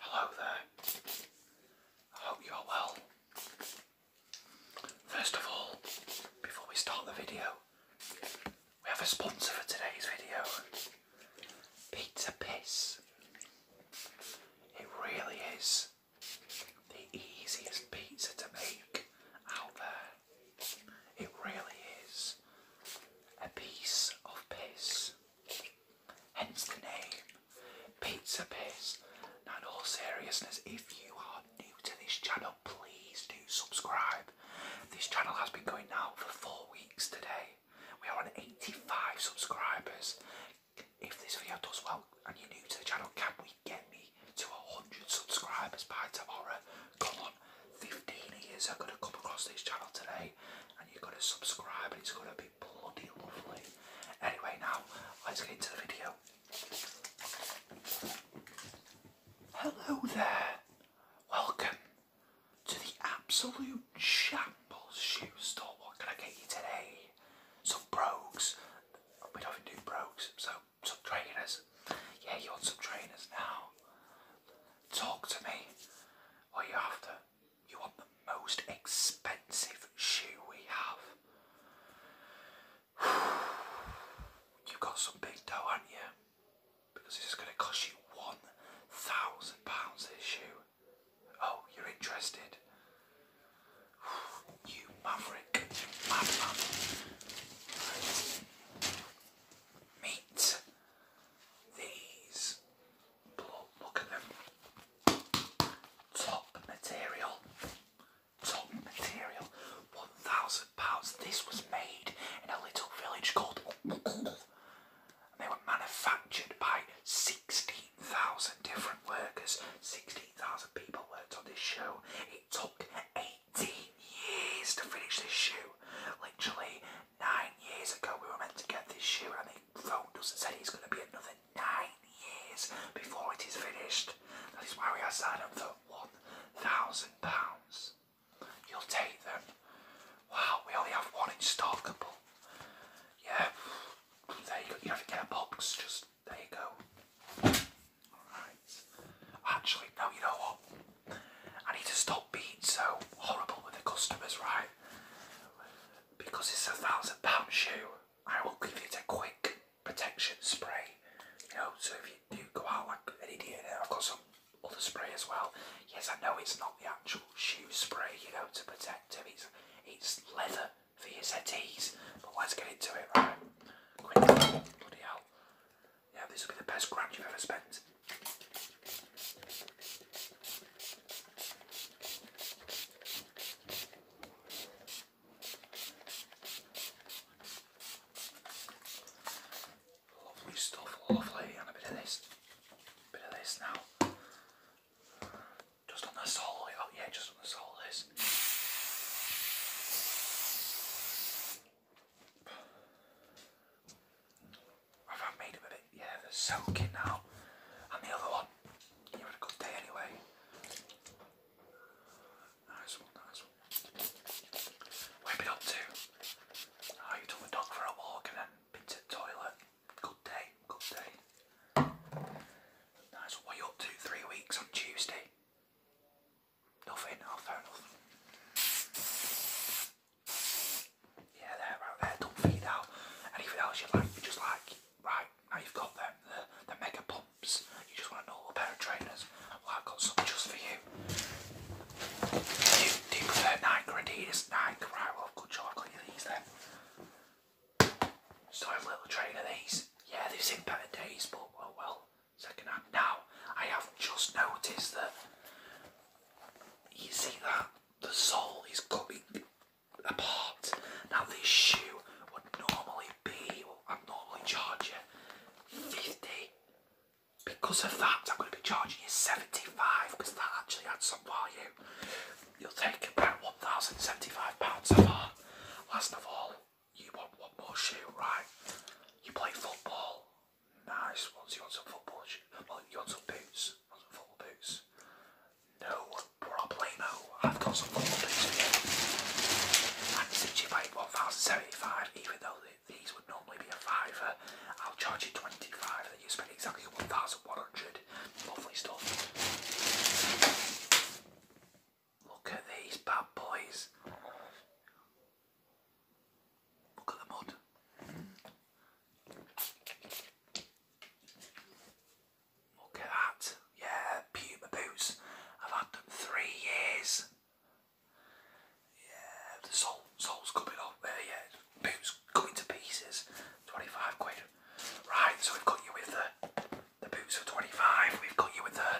Hello there. I hope you are well. First of all, before we start the video, we have a sponsor for today's video Pizza Piss. It really is the easiest pizza to make out there. It really is a piece of piss. Hence the name Pizza Piss. Now, in all seriousness, if you are new to this channel, please do subscribe. This channel has been going now for four weeks today. We are on 85 subscribers. If this video does well and you're new to the channel, can we get me to 100 subscribers by tomorrow? Come on, 15 years i are going to come across this channel today and you're going to subscribe and it's going to be bloody lovely. Anyway, now let's get into the video. Hello there. Welcome to the absolute shambles shoe store. What can I get you today? Some brogues. We don't do brogues, so some trainers. Yeah, you want some trainers now. Talk to me. What are you after? You want the most expensive shoe we have. you got some big dough, haven't you? Because this is going to cost you £1,000 this shoe. Oh, you're interested? You maverick, meat. These, look at them. Top material. Top material. One thousand pounds. This was made in a little village called. And they were manufactured by 16,000 different workers. 16,000 people worked on this show. It took eight 18 years to finish this shoe. Literally, nine years ago we were meant to get this shoe and they phone doesn't say it's going to be another nine years before it is finished. That is why we are selling them for £1,000. You'll take them. Wow, we only have one in Yeah, there you go. You have to get a box, just there you go. Alright. Actually, no, you know what? I need to stop being so horrible with the customers, right? Because it's a thousand pound shoe, I will give you a quick protection spray. You know, so if you do go out like an idiot, I've got some other spray as well. Yes, I know it's not the actual shoe spray, you know, to protect it. It's, it's leather for your settees. But let's get into it, right? bloody hell. Yeah, this will be the best grand you've ever spent. Lovely stuff, lovely, and a bit of this, bit of this now. Just on the sole. Oh yeah, just on the sole of this. I've made them a bit, yeah, they're soaking now. And the other one, you had a good day anyway. Nice one, nice one. What have up to? Oh, you took the dog for a walk and then been the toilet. Good day, good day. Nice. What are up to? Three weeks on Tuesday? Nothing. Oh, fair enough. Yeah, there, right there. Don't feed out. Anything else you like, you just like, right, now you've got them, the, mega pumps. You just want normal pair of trainers. Well, I've got some just for you. Do you, prefer Nike or Adidas? Nike, right, well, good job, i got you these then. Starting little train of these. Yeah, they've seen better days, but oh well. Second hand. Now, I have just noticed that you see that the sole is coming apart. Now, this shoe would normally be, well, i am normally charging 50. Because of that, I'm going to be charging you 75 because that actually had some value. You'll take about £1,075 of far. Last of all, you want one more shoe, right? You play football. Nice. Once you want some football shoes? Well, you want some boots? You want some football boots? No problemo. I've got some football boots here. And since you paid 1075 even though these would normally be a fiver, I'll charge you 25 you spent exactly 1,100. Lovely stuff. Look at these bad boys. Look at the mud. Look at that. Yeah, Puma boots. I've had them three years. Yeah, the sole, sole's coming off there, uh, yeah boots coming to pieces. 25 quid. Right, so we've got you with the, the boots for 25, we've got you with the,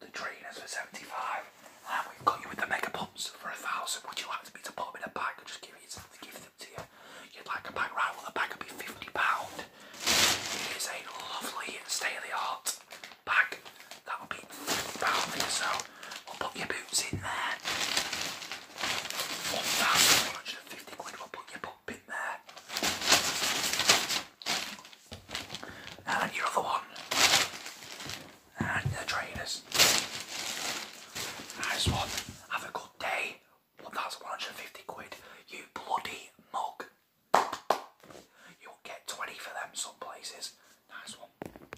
the trainers for 75, and we've got you with the mega pumps for a thousand. Would you like me to put them in a bag and just give, you, give them to you? You'd like a bag, right? Well, the bag would be £50. It is a lovely state of the art bag that would be £50. So i will put your boots in there. 1,150 quid, we'll put your pop in there. And your other one. And the trainers. Nice one. Have a good day. 1,150 quid. You bloody mug. You'll get 20 for them some places. Nice one.